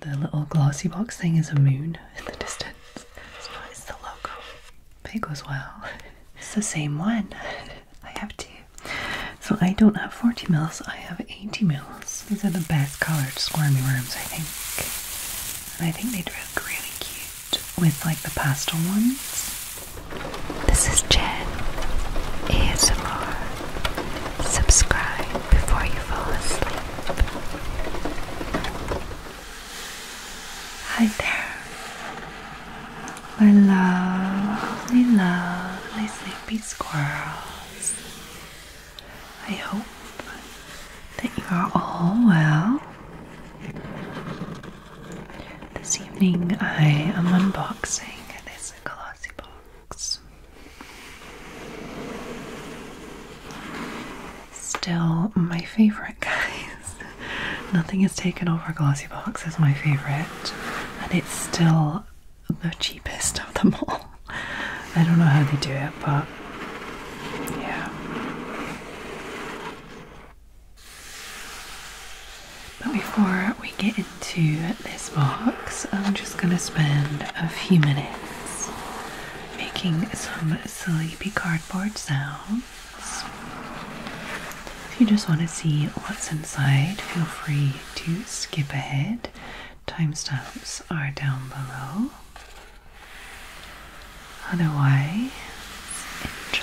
The little glossy box thing is a moon in the distance. it's the logo. But it goes well. It's the same one. I have two. So I don't have 40 mils, I have 80 mils. These are the best colored squirmy worms, I think. And I think they'd look really cute with like the pastel ones. This is Jen ASMR. Subscribe before you fall asleep. Hi there, my lovely, lovely sleepy squirrels. I hope that you are all well. This evening I am unboxing this glossy box relax. Still my favorite, guys. Nothing has taken over Glossybox as my favorite, and it's still the cheapest of them all. I don't know how they do it, but yeah. But before we get into this box, I'm just going to spend a few minutes making some sleepy cardboard sounds. If you just want to see what's inside, feel free to skip ahead. Timestamps are down below. Otherwise, enjoy.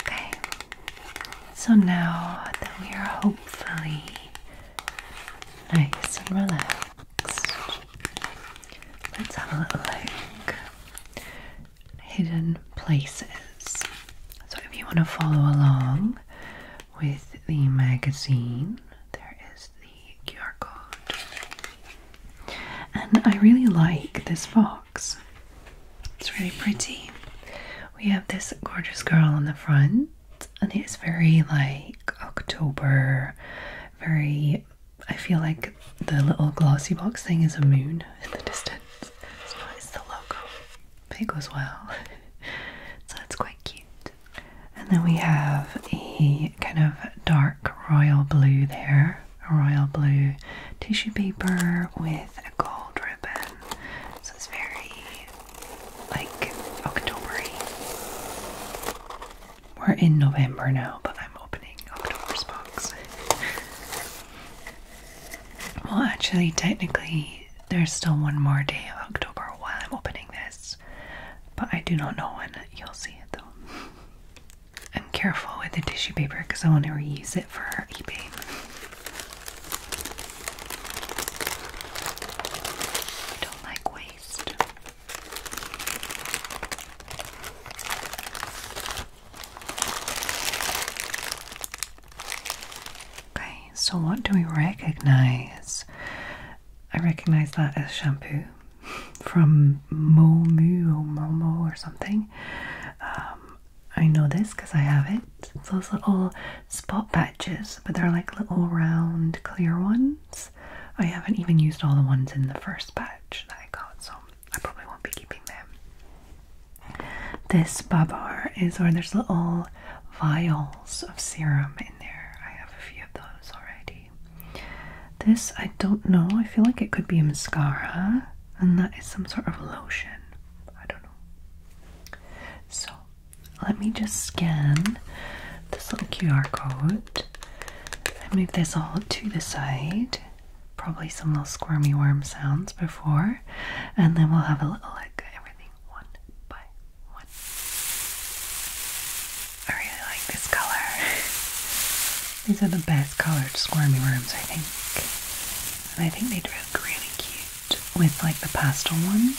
Okay, so now that we are hopefully nice and relaxed, let's have a little look hidden places. So if you want to follow along with the magazine, there is the QR code. And I really like this box. It's really pretty. We have this gorgeous girl on the front, and it's very like October, very I feel like the little glossy box thing is a moon in the distance. It's not, the logo. Big as well. so it's quite cute. And then we have a kind of dark royal blue there. royal blue tissue paper with a gold ribbon. So it's very like Octobery. We're in November now, but I'm opening October's box. well, actually, technically, there's still one more day of October while I'm opening this, but I do not know when you'll see it though. I'm careful with the tissue paper because I want to reuse it for eBay. I don't like waste. Okay, so what do we recognize? I recognize that as shampoo from Momo or something. Um, I know this because I have it. It's those little spot patches, but they're like little round clear ones. I haven't even used all the ones in the first batch that I got, so I probably won't be keeping them. This babar is where there's little vials of serum in there. I have a few of those already. This, I don't know. I feel like it could be a mascara, and that is some sort of lotion. I don't know. So, let me just scan this little QR code I move this all to the side probably some little squirmy worm sounds before, and then we'll have a little look at everything one by one. I really like this color. These are the best colored squirmy worms, I think. And I think they'd look really cute with like the pastel ones.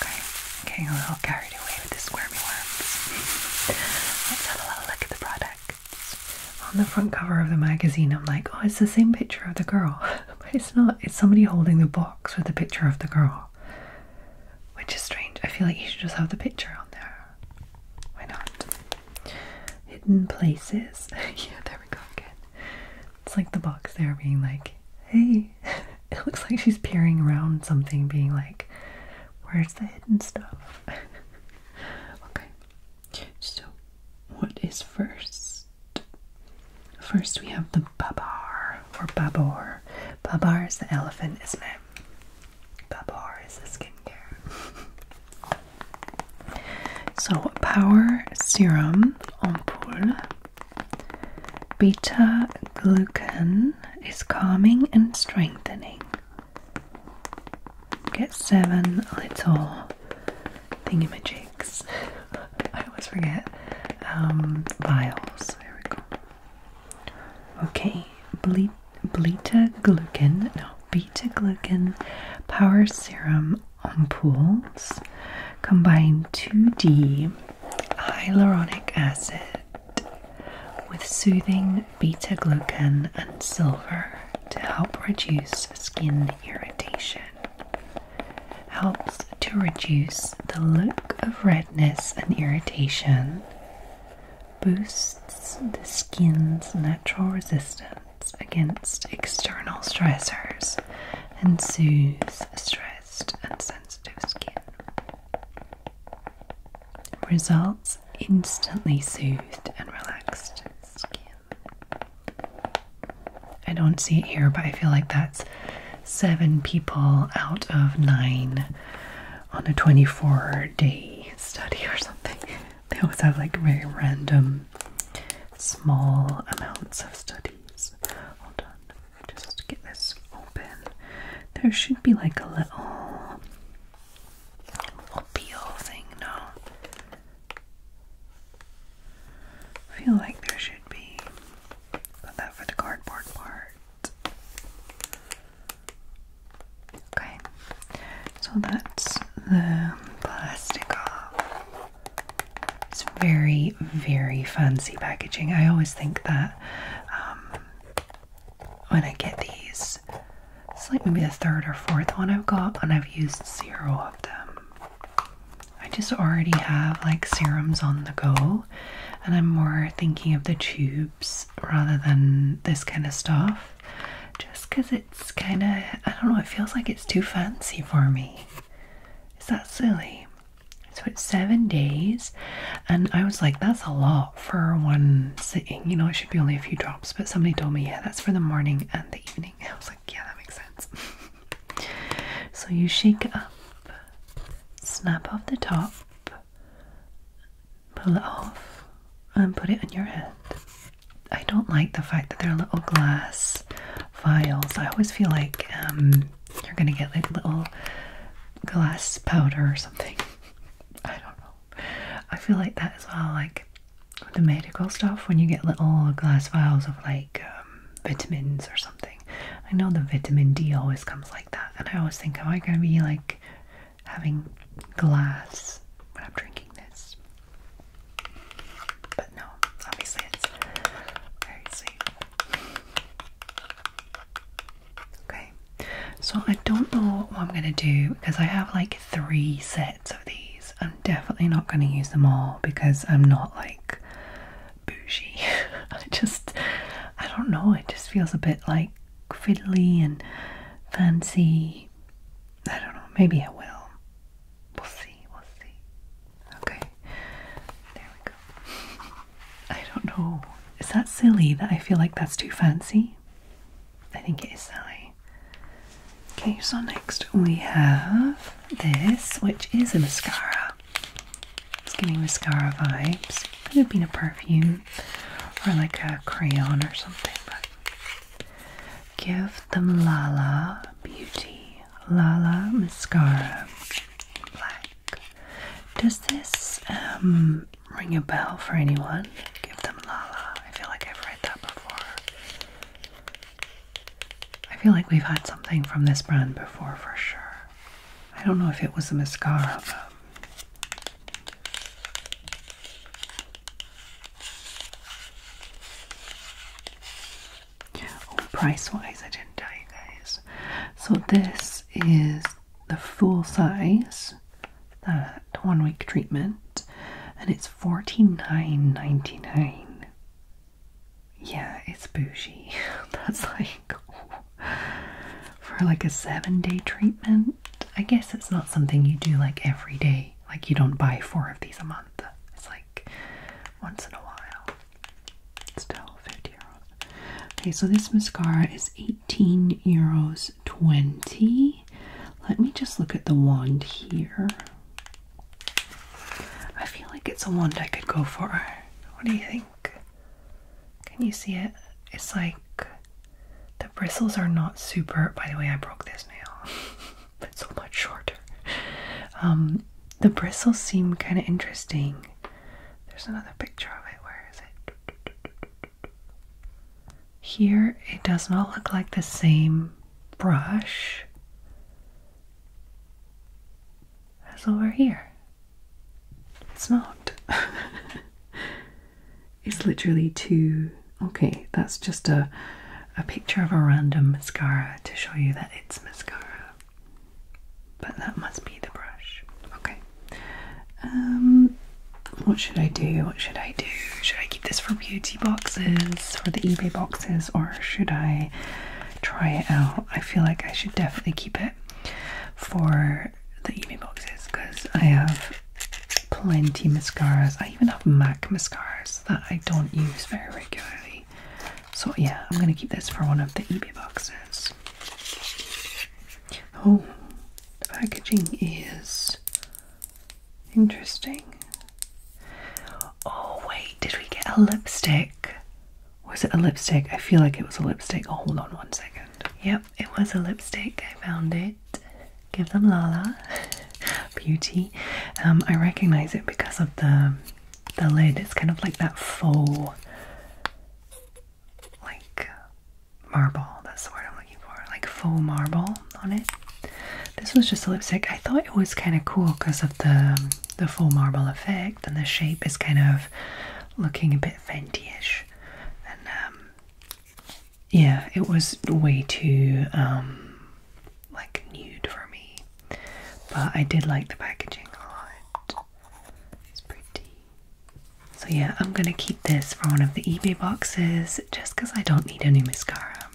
Okay, I'm getting a little carried away with the squirmy worms. Let's have a little look at the product on the front cover of the magazine, I'm like, oh, it's the same picture of the girl, but it's not. It's somebody holding the box with the picture of the girl, which is strange. I feel like you should just have the picture on there. Why not? Hidden places. yeah, there we go again. It's like the box there being like, hey, it looks like she's peering around something, being like, where's the hidden stuff? okay. So, what is first? First, we have the babar or babor. Babar is the elephant, isn't it? Babar is the skincare. so, power serum ampoule. Beta glucan is calming and strengthening. Get seven little thingamajigs. I always forget. Um, vials. There we go. Okay, Ble beta glucan, no, beta glucan power serum ampoules combine 2D hyaluronic acid with soothing beta glucan, and silver to help reduce skin irritation. Helps to reduce the look of redness and irritation, boosts the skin's natural resistance against external stressors, and soothes stressed and sensitive skin. Results instantly soothed and relaxed I don't see it here, but I feel like that's seven people out of nine on a 24 day study or something. They always have like very random small amounts of studies. Hold on, just get this open. There should be like a little little thing, no. feel like there should be. Put that for the cardboard part. Okay, so that's the plastic It's very, very fancy packaging. I always think that um, when I get these, it's like maybe the third or fourth one I've got, and I've used zero of them. I just already have like serums on the go, and I'm more thinking of the tubes rather than this kind of stuff just because it's kind of, I don't know, it feels like it's too fancy for me. Is that silly? So it's seven days, and I was like, that's a lot for one sitting. You know, it should be only a few drops, but somebody told me, yeah, that's for the morning and the evening. I was like, yeah, that makes sense. so you shake it up, snap off the top, pull it off, and put it in your head. I don't like the fact that they're little glass vials. I always feel like um, you're gonna get like little glass powder or something. I don't know. I feel like that as well, like the medical stuff, when you get little glass vials of like um, vitamins or something. I know the vitamin D always comes like that, and I always think, am I going to be like having glass when I'm drinking this? But no, obviously it's very sweet. Okay. So I don't know what I'm going to do because I have like three sets of these. I'm definitely not going to use them all because I'm not like bougie. I just, I don't know, it just feels a bit like fiddly and fancy. I don't know, maybe I will. We'll see, we'll see. Okay, there we go. I don't know. Is that silly that I feel like that's too fancy? I think it is Sally. Okay, so next we have this, which is a mascara. It's giving mascara vibes. Could have been a perfume or like a crayon or something, give them Lala Beauty. Lala Mascara Black. Does this um ring a bell for anyone. Give them Lala. I feel like I've read that before. I feel like we've had something from this brand before for sure. I don't know if it was a mascara, Oh, price wise, I didn't tell you guys. So, this is the full size, that one week treatment, and it's forty nine ninety nine. Yeah, it's bougie. That's like for like a seven day treatment. I guess it's not something you do like every day. Like you don't buy four of these a month. It's like once in a while. Still 50 euros. Okay, so this mascara is 18 euros 20. Let me just look at the wand here. I feel like it's a wand I could go for. What do you think? Can you see it? It's like the bristles are not super. By the way, I broke this nail, but so much shorter. Um, the bristles seem kind of interesting. There's another picture of it. Where is it? Here it does not look like the same brush as over here. It's not. it's literally two. Okay, that's just a a picture of a random mascara to show you that it's mascara. But that must be the brush. Okay. Um, what should I do? What should I do? Should I keep this for beauty boxes, or the eBay boxes, or should I try it out? I feel like I should definitely keep it for the eBay boxes because I have plenty mascaras. I even have MAC mascaras that I don't use very regularly. So yeah, I'm gonna keep this for one of the eBay boxes. Oh, the packaging is interesting. Oh, wait, did we get a lipstick? Was it a lipstick? I feel like it was a lipstick. Oh, hold on one second. Yep, it was a lipstick. I found it. Give them Lala. Beauty. Um, I recognize it because of the the lid. It's kind of like that faux like marble. That's the word I'm looking for. Like faux marble on it. This was just a lipstick. I thought it was kind of cool because of the the faux marble effect, and the shape is kind of looking a bit Fenty-ish. And um, yeah, it was way too um, like nude for me. But I did like the packaging a lot. It's pretty. So yeah, I'm gonna keep this for one of the eBay boxes just because I don't need any mascara.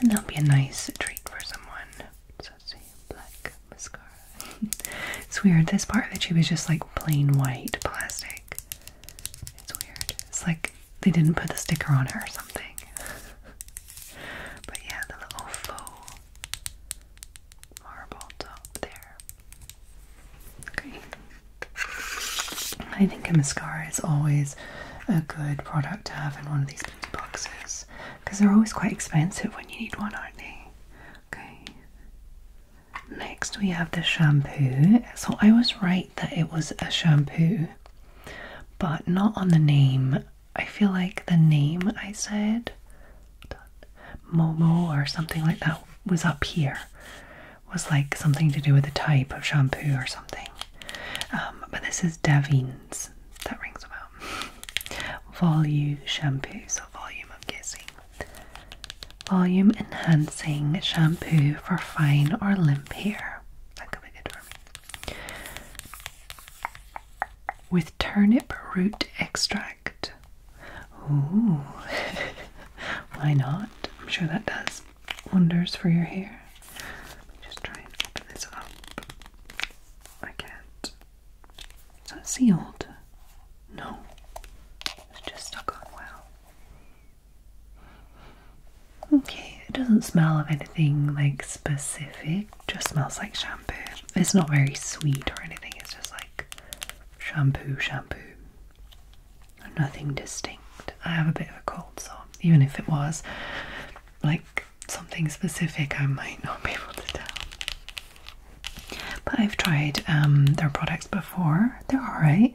And that'll be a nice treat for someone. So let's black mascara. it's weird, this part of the tube is just like plain white plastic. It's weird. It's like they didn't put the sticker on it or something. but yeah, the little faux marble top there. Okay. I think a mascara is always a good product to have in one of these beauty boxes because they're always quite expensive when you need one, aren't they? Okay. Next, we have the shampoo. So, I was right that it was a shampoo, but not on the name. I feel like the name I said Momo or something like that was up here. Was like something to do with the type of shampoo or something. Um, but this is Davines. That rings a bell. Volume shampoo, so volume, I'm guessing. Volume enhancing shampoo for fine or limp hair. That could be good for me. With turnip root extract. why not? I'm sure that does wonders for your hair. Let me just try and open this up. I can't. It's not sealed. No, it's just stuck on well. Okay, it doesn't smell of anything like specific. Just smells like shampoo. It's not very sweet or anything. It's just like shampoo, shampoo nothing distinct. I have a bit of a cold, so even if it was like something specific, I might not be able to tell. But I've tried um, their products before, they're alright.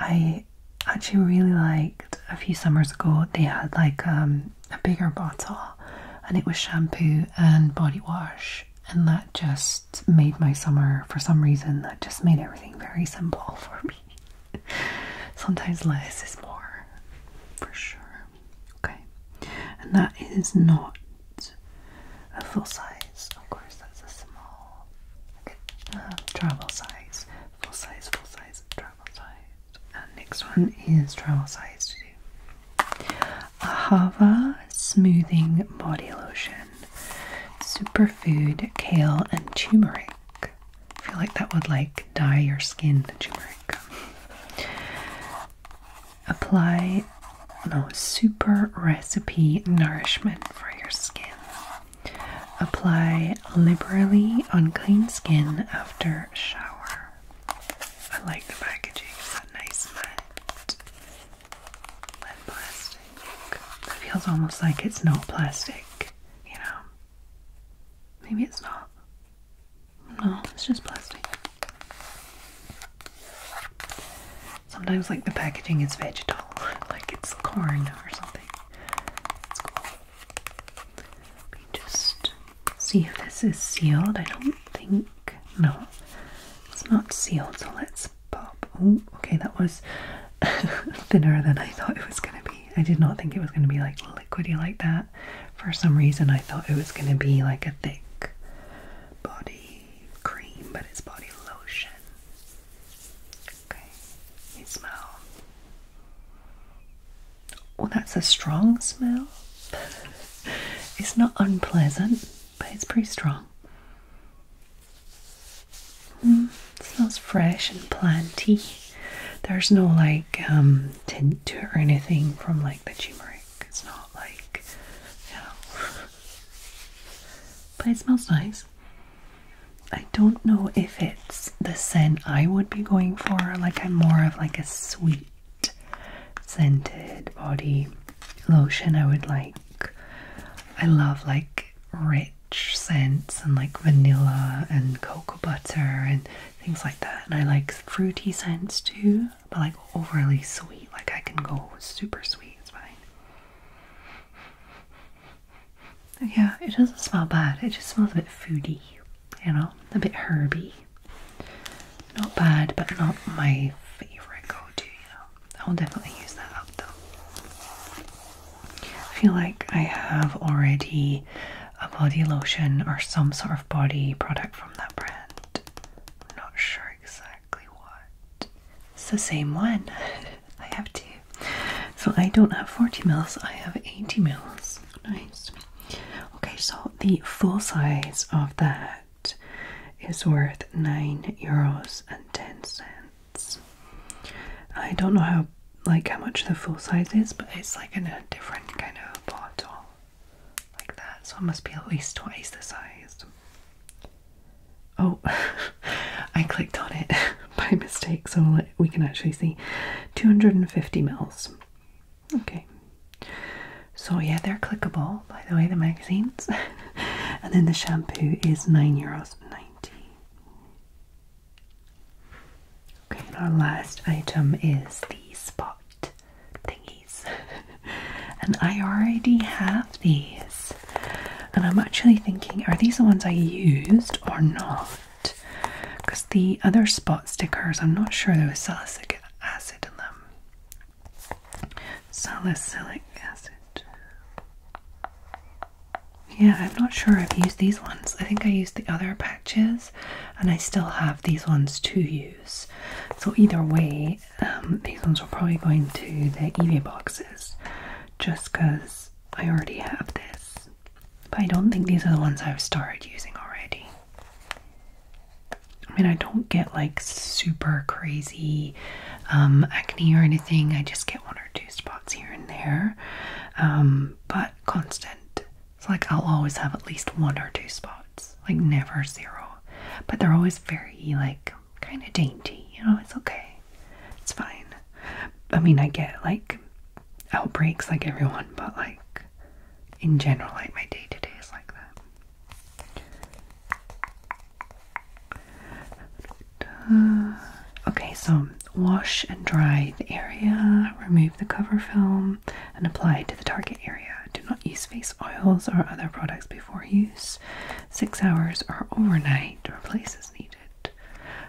I actually really liked a few summers ago, they had like um, a bigger bottle and it was shampoo and body wash, and that just made my summer for some reason. That just made everything very simple for me. Sometimes less is more, for sure. Okay, and that is not a full size. Of course, that's a small okay. Uh, travel size. Full size, full size, travel size. next one is travel size too. Ahava Smoothing Body Lotion. Superfood kale and turmeric. I feel like that would like dye your skin the turmeric. Apply no super recipe nourishment for your skin. Apply liberally on clean skin after shower. I like the packaging, nice matte lead That feels almost like it's not plastic, you know? Maybe it's not. No, it's just plastic. Sometimes, like, the packaging is vegetable, like it's corn or something. Let me just see if this is sealed. I don't think. No, it's not sealed, so let's pop. Oh, okay, that was thinner than I thought it was going to be. I did not think it was going to be like liquidy like that. For some reason, I thought it was going to be like a thick body cream, but it's body lotion. Okay, smell. Oh, that's a strong smell. it's not unpleasant but it's pretty strong. it mm, smells fresh and planty. There's no like um, tint to anything from like the turmeric. It's not like, you but it smells nice. I don't know if it's the scent I would be going for. Like I'm more of like a sweet scented body lotion. I would like I love like rich scents and like vanilla and cocoa butter and things like that. And I like fruity scents too, but like overly sweet. Like I can go super sweet, it's fine. Yeah, it doesn't smell bad. It just smells a bit foody, you know, a bit herby. Not bad, but not my favorite go-to, you know. I'll definitely use that up though. I feel like I have already a body lotion or some sort of body product from that brand. not sure exactly what. It's the same one. I have two. So I don't have 40 mils, I have 80 mils. Nice. Okay, so the full size of that is worth 9 euros and 10 cents. I don't know how like how much the full size is, but it's like in a different kind of bottle like that, so it must be at least twice the size. Oh, I clicked on it by mistake, so we can actually see 250 mils. Okay, so yeah, they're clickable, by the way, the magazines. and then the shampoo is nine euros ninety. Okay, our last item is the spot thingies. and I already have these. And I'm actually thinking, are these the ones I used or not? Because the other spot stickers, I'm not sure there was salicylic acid in them. Salicylic acid. Yeah, I'm not sure I've used these ones. I think I used the other patches, and I still have these ones to use. So, either way, um, these ones are probably going to the EVA boxes just because I already have this. But I don't think these are the ones I've started using already. I mean, I don't get like super crazy um, acne or anything. I just get one or two spots here and there, um, but constant. It's like I'll always have at least one or two spots, like never zero. But they're always very like kind of dainty. You know, it's okay. It's fine. I mean, I get like outbreaks like everyone, but like in general, like my day to day is like that okay, so wash and dry the area, remove the cover film, and apply to the target area. Do not use face oils or other products before use. Six hours or overnight, replace as needed.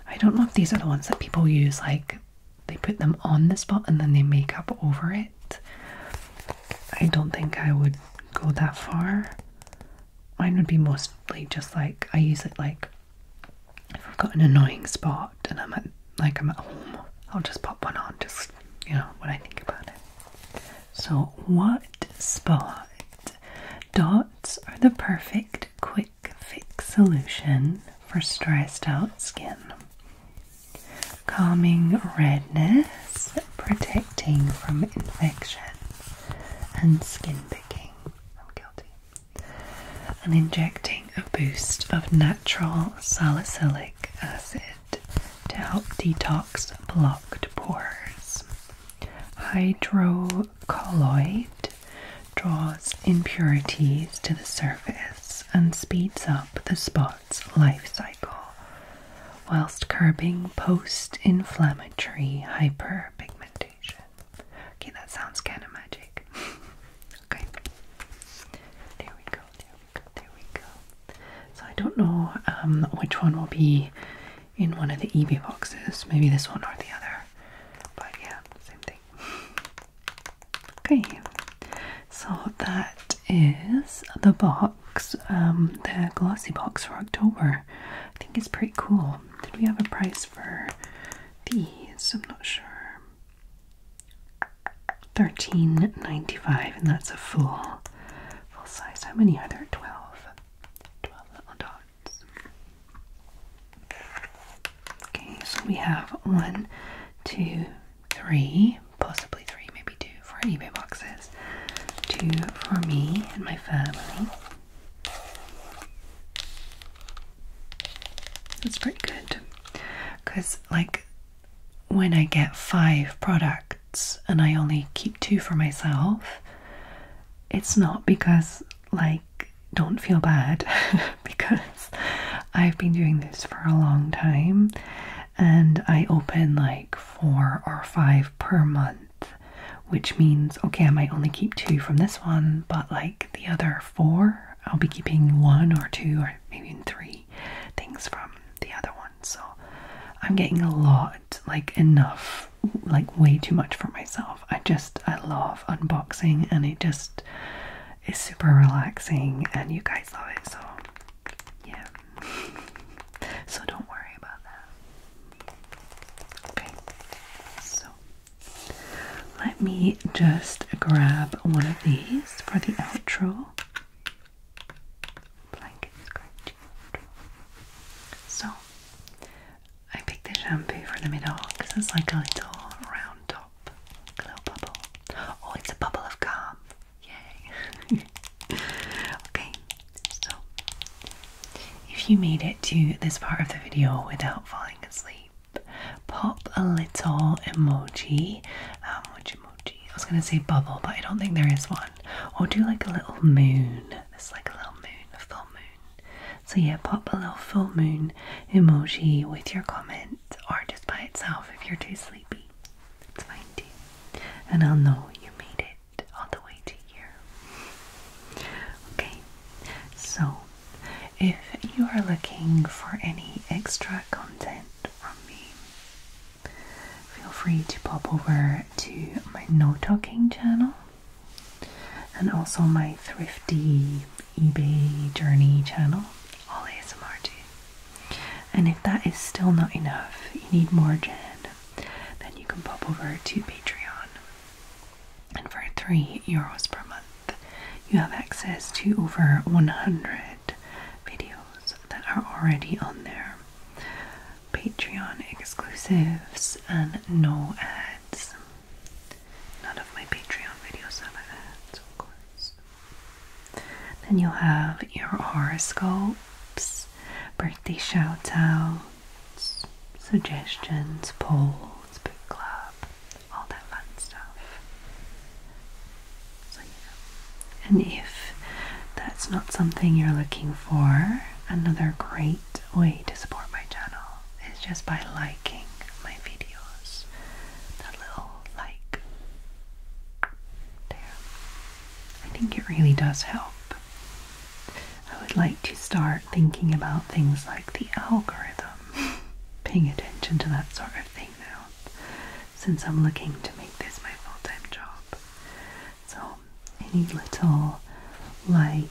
I don't know if these are the ones that people use, like they put them on the spot and then they make up over it. I don't think I would go that far. Mine would be mostly just like I use it like if I've got an annoying spot and I'm at like I'm at home, I'll just pop one on just you know when I think about it. So what spot dots are the perfect quick fix solution for stressed out skin? calming redness, protecting from infection and skin picking. I'm guilty. And injecting a boost of natural salicylic acid to help detox blocked pores. Hydrocolloid draws impurities to the surface and speeds up the spot's life cycle, whilst curbing post inflammatory hyperpigmentation. Okay, that sounds kind of magic. okay, there we go, there we go, there we go. So, I don't know um, which one will be in one of the eBay boxes, maybe this one or the other, but yeah, same thing. Okay, so that is the box, um, the glossy box for October. I think it's pretty cool. Did we have a price for these? I'm not sure. Thirteen ninety five, and that's a full, full size. How many are there? Twelve. Twelve little dots. Okay, so we have one, two, three, possibly three, maybe two, for eBay boxes. Two for me and my family. That's pretty good. Because, like, when I get five products and I only keep two for myself, it's not because, like, don't feel bad because I've been doing this for a long time and I open like four or five per month. Which means, okay, I might only keep two from this one, but like the other four, I'll be keeping one or two or maybe even three things from the other ones. So I'm getting a lot, like enough, like way too much for myself. I just, I love unboxing and it just is super relaxing and you guys love it. So yeah so don't worry about that. Okay, so let me just grab one of these for the outro. Blanket scratch. So I picked the shampoo for the middle because it's like a little round top, a little bubble. Oh, it's a bubble of calm. Yay! okay, so if you made it to this part of the video without falling asleep, pop a little emoji. Um, emoji? I was gonna say bubble, but I don't think there is one. Or do like a little moon. There's like a little moon, a full moon. So yeah, pop a little full moon emoji with your comment, or just by itself if you're too sleepy. It's fine too. And I'll know you made it all the way to here. Okay, so if you are looking for any extra content from me, feel free to pop over to my no talking channel and also my thrifty eBay journey channel, all ASMR too. And if that is still not enough, you need more Jen, then you can pop over to Patreon. And for 3 euros per month, you have access to over 100 videos that are already on there. Patreon exclusives and no ads. None of my Patreon videos have ads, of course. Then you'll have your horoscopes, birthday shout outs, suggestions, polls, book club, all that fun stuff. So, yeah. And if that's not something you're looking for, another great way to support my channel is just by liking my videos. That little like I think it really does help. I would like to start thinking about things like the algorithm, paying attention to that sort of thing now, since I'm looking to make this my full time job. So, any little like,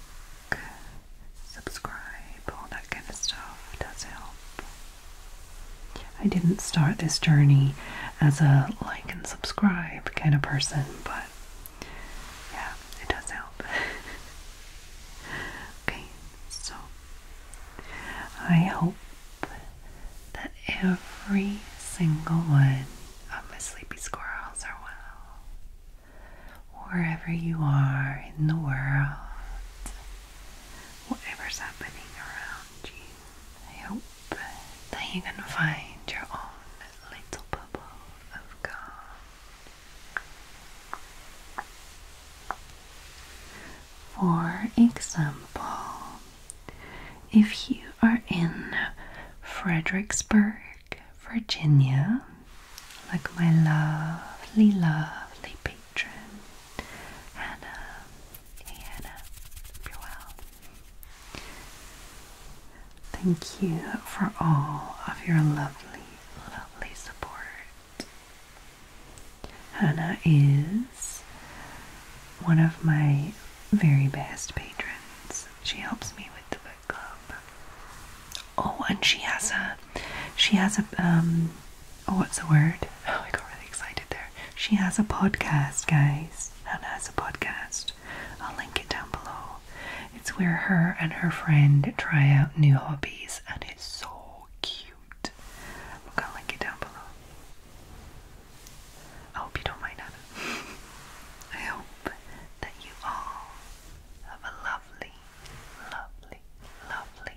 subscribe, all that kind of stuff does help. I didn't start this journey as a like and subscribe kind of person, but yeah, it does help. okay, so I hope that every single one of my sleepy squirrels are well. Wherever you are in the world, whatever's happening around you. hope that you can find your own little bubble of calm. For example, if you are in Fredericksburg, Virginia, like my lovely, lovely patron, Hannah. Hey Hannah, hope you're well. Thank you for all of your lovely, lovely support. Hannah is one of my very best patrons. She helps me with the book club. Oh, and she has a she has a um oh, what's the word? Oh, I got really excited there. She has a podcast, guys. Anna has a podcast. I'll link it down below. It's where her and her friend try out new hobbies, and it's so cute. Look, will link it down below. I hope you don't mind Hannah. I hope that you all have a lovely, lovely, lovely